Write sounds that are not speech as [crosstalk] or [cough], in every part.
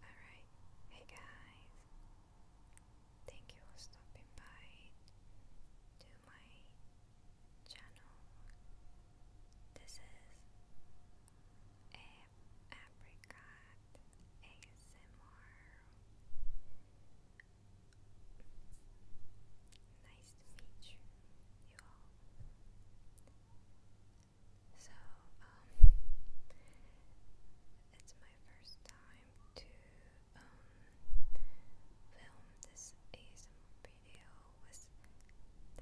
Alright, hey guys, thank you for stopping by to my channel. This is a apricot ASMR. Nice to meet you, you all. So, um, it's my first time to um, film this ASMR video with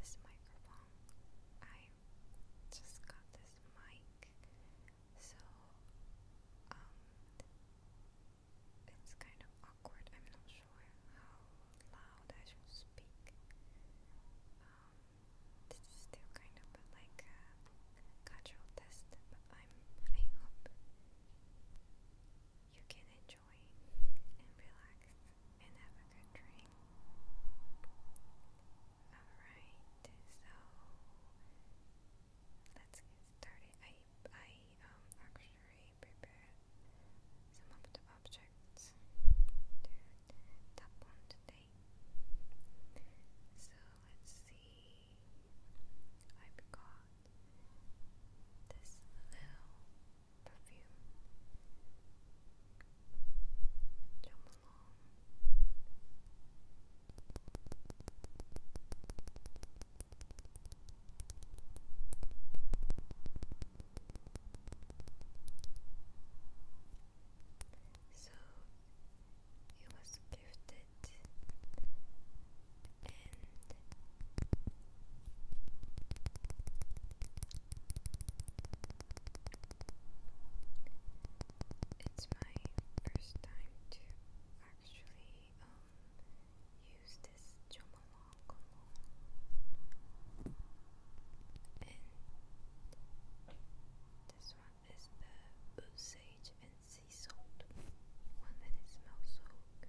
this microphone. I just got this mic, so um, it's kind of awkward. I'm not sure how loud I should speak. Um, this is still kind of like a uh, cultural test, but I'm I hope you can enjoy and relax and have a good dream. Alright, so let's get started. I I um actually prepared some of the objects to So let's see. I've got this little perfume. Jump along. So he was gifted and it's my first time to actually um, use this Jomalong. And this one is the Osage and Sea Salt one, it smells so good.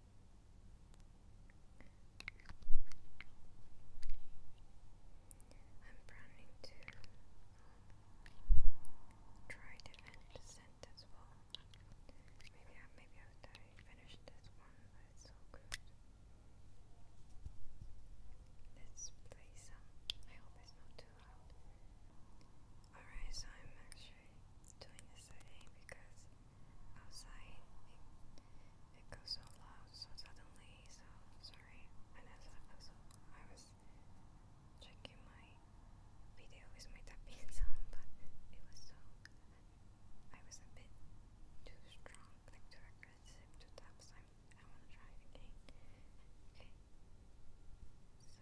I'm planning to try to end the scent Maybe I maybe after I finish this one, Let's play some. I hope it's not too loud. Alright, so I'm actually doing yesterday because outside it, goes so loud so suddenly, so sorry. And also, also I was checking my video with my tapping [laughs] sound, but it was so. I was a bit too strong, like too aggressive to tap, so I want to try it again. Okay. So.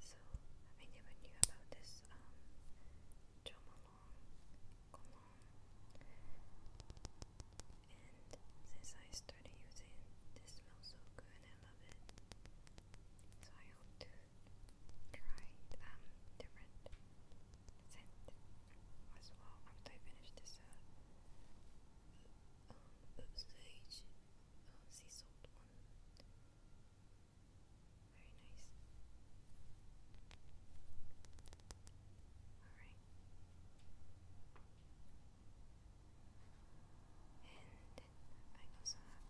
So I never knew about this um Jomalong and since I started using it, this smells so good I love it. So I hope to try um, different scent as well after I finish this uh, um, stage. Oh, sea salt one. Very nice. Alright. And I also have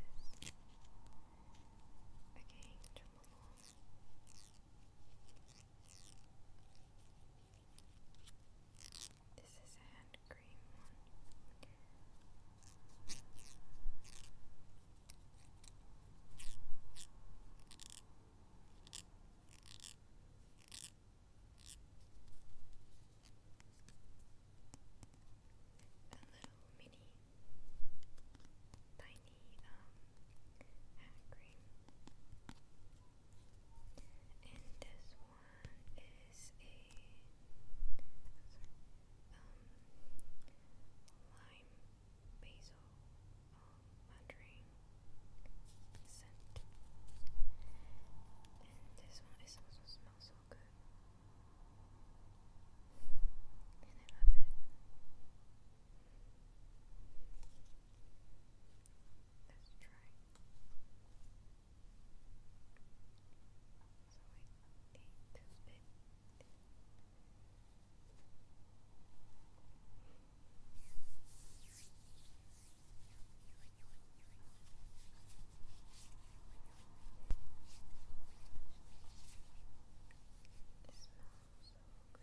this. Okay, jump along. Okay. This is a hand cream A little mini tiny um hand cream. And this one is a um, lime basil um, scent. this one also smells so good. I love it. Let's try. So I need to bend. It smells so good.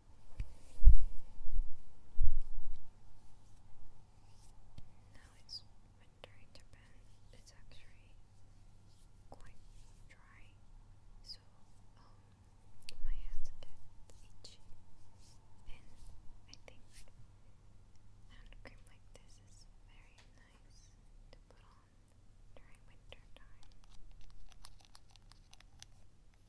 Now it's wintering It's actually quite dry, so um, my hands get itchy, and I think hand cream like this is very nice to put on during winter time.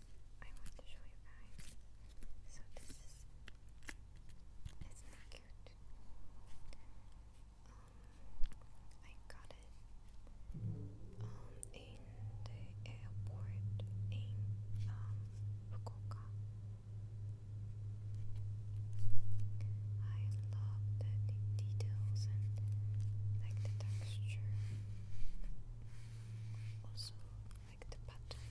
I want to show you guys. So this is isn't that cute? Um, I got it um, in the airport in um, Fukuoka. I love the details and like the texture also like the pattern.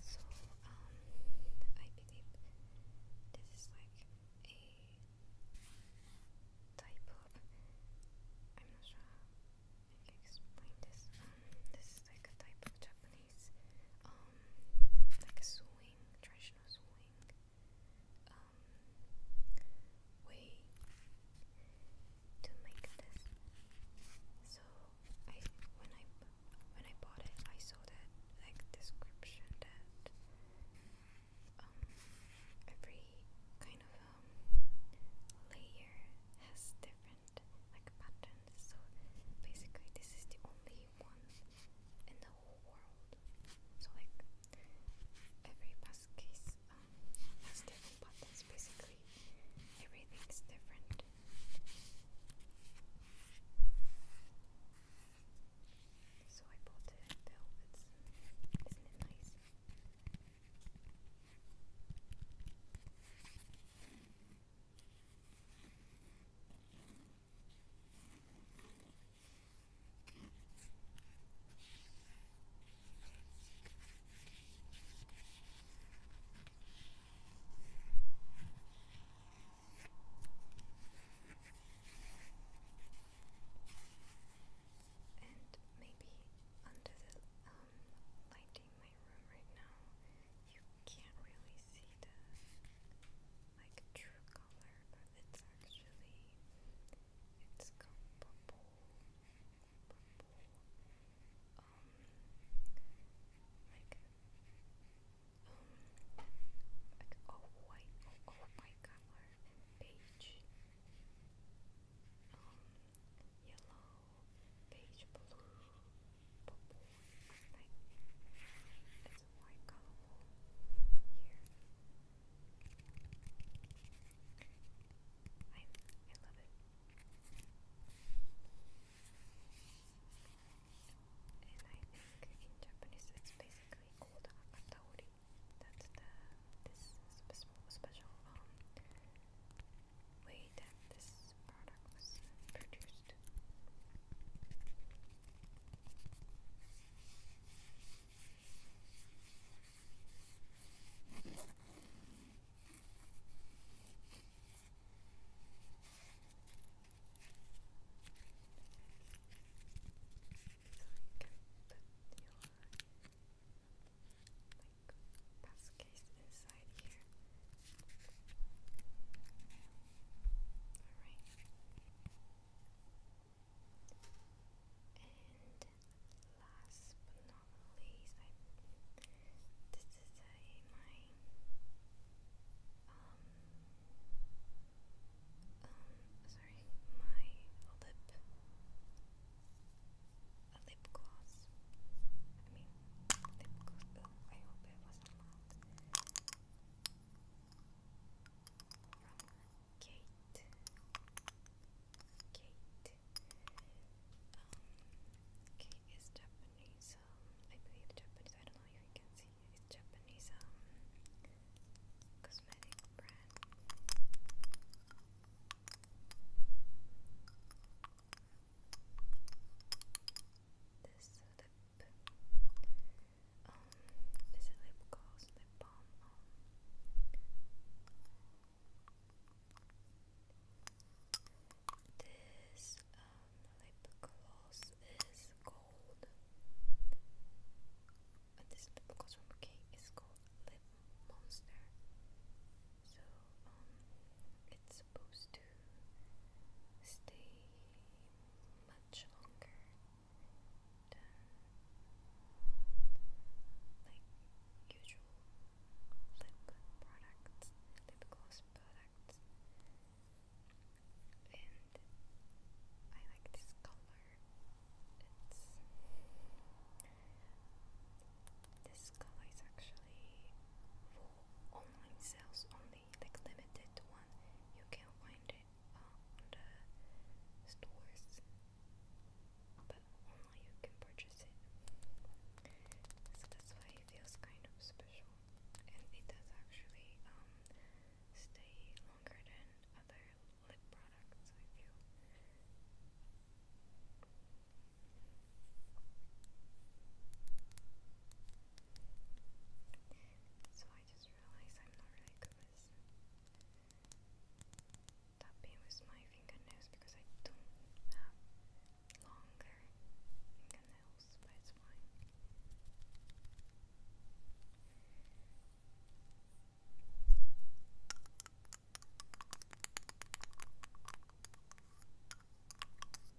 So um, I believe this is like a type of. I'm not sure how I explain this. Um, this is like a type of Japanese. Um, like a swing, traditional swing. Um, way to make this. So I when I when I bought it, I saw that like description that um, every kind of um, layer has different different like patterns. So basically, this is the only one in the whole world. So like every past case um, has different patterns. Basically, everything's different. So I bought it not it nice? And maybe under the um, lighting my room right now, you can't really see the like true color, but it's actually it's called purple. Purple. Um, like um, like all white, all, oh, white oh color, beige, um, yellow beige blue, it's white colorful here. I I love it. And I think in Japanese it's basically called akataori. That's the this special um, way that this these So you can your like best inside side here. And last but not least, this is my um um sorry my lip lip gloss. I mean lip gloss. Oh, I hope it wasn't loud. Kate, Kate, um, Kate is Japanese, I believe Japanese, I don't know if you can see, it's Japanese, um, cosmetic brand. This lip, um, is lip gloss, lip balm, this, um, lip gloss is gold, and this lip gloss from King is called Lip Monster, so, um, it's supposed to stay much longer than like usual lip products, lip gloss products. And I like this color. It's this color is actually for online sales on only like limited one. You can't find it uh, on the stores, but only you can purchase it. So that's why it feels kind of special, and it does actually um, stay longer than other lip products. I feel. So I just realized I'm not really good with tapping with my fingernails because I don't have longer fingernails, but it's fine.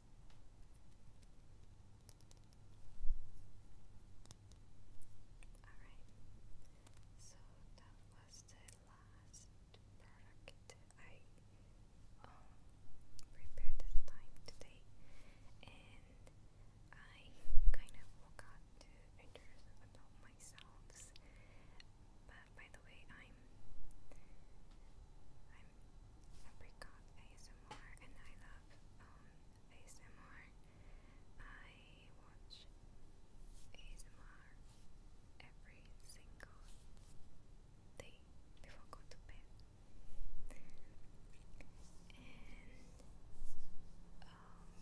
Alright, so that was the last product I prepared this time today, and I kind of forgot to introduce myself. But by the way, I'm I'm Apricot ASMR. ASMR and I love um, ASMR. I watch ASMR every single day before I to bed. And um,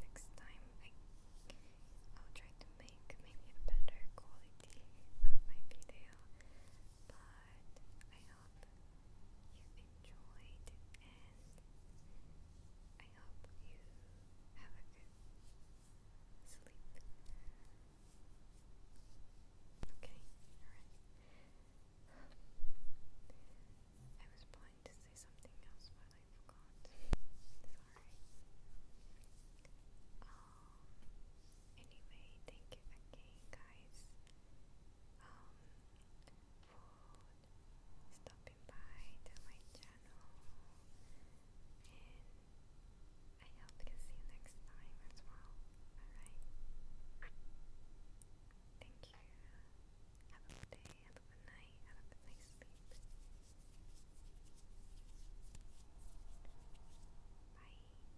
next time I will try to make maybe a better quality of my video, but hope you enjoyed and I hope you have a good sleep. Okay, alright. I was planning to say something else, but I forgot. Sorry. Um, anyway, thank you again, guys, um, for stopping by to my channel, and I hope to see you next time as well. Alright, thank you. Have a good day. Have a good night. Have a good sleep. Bye.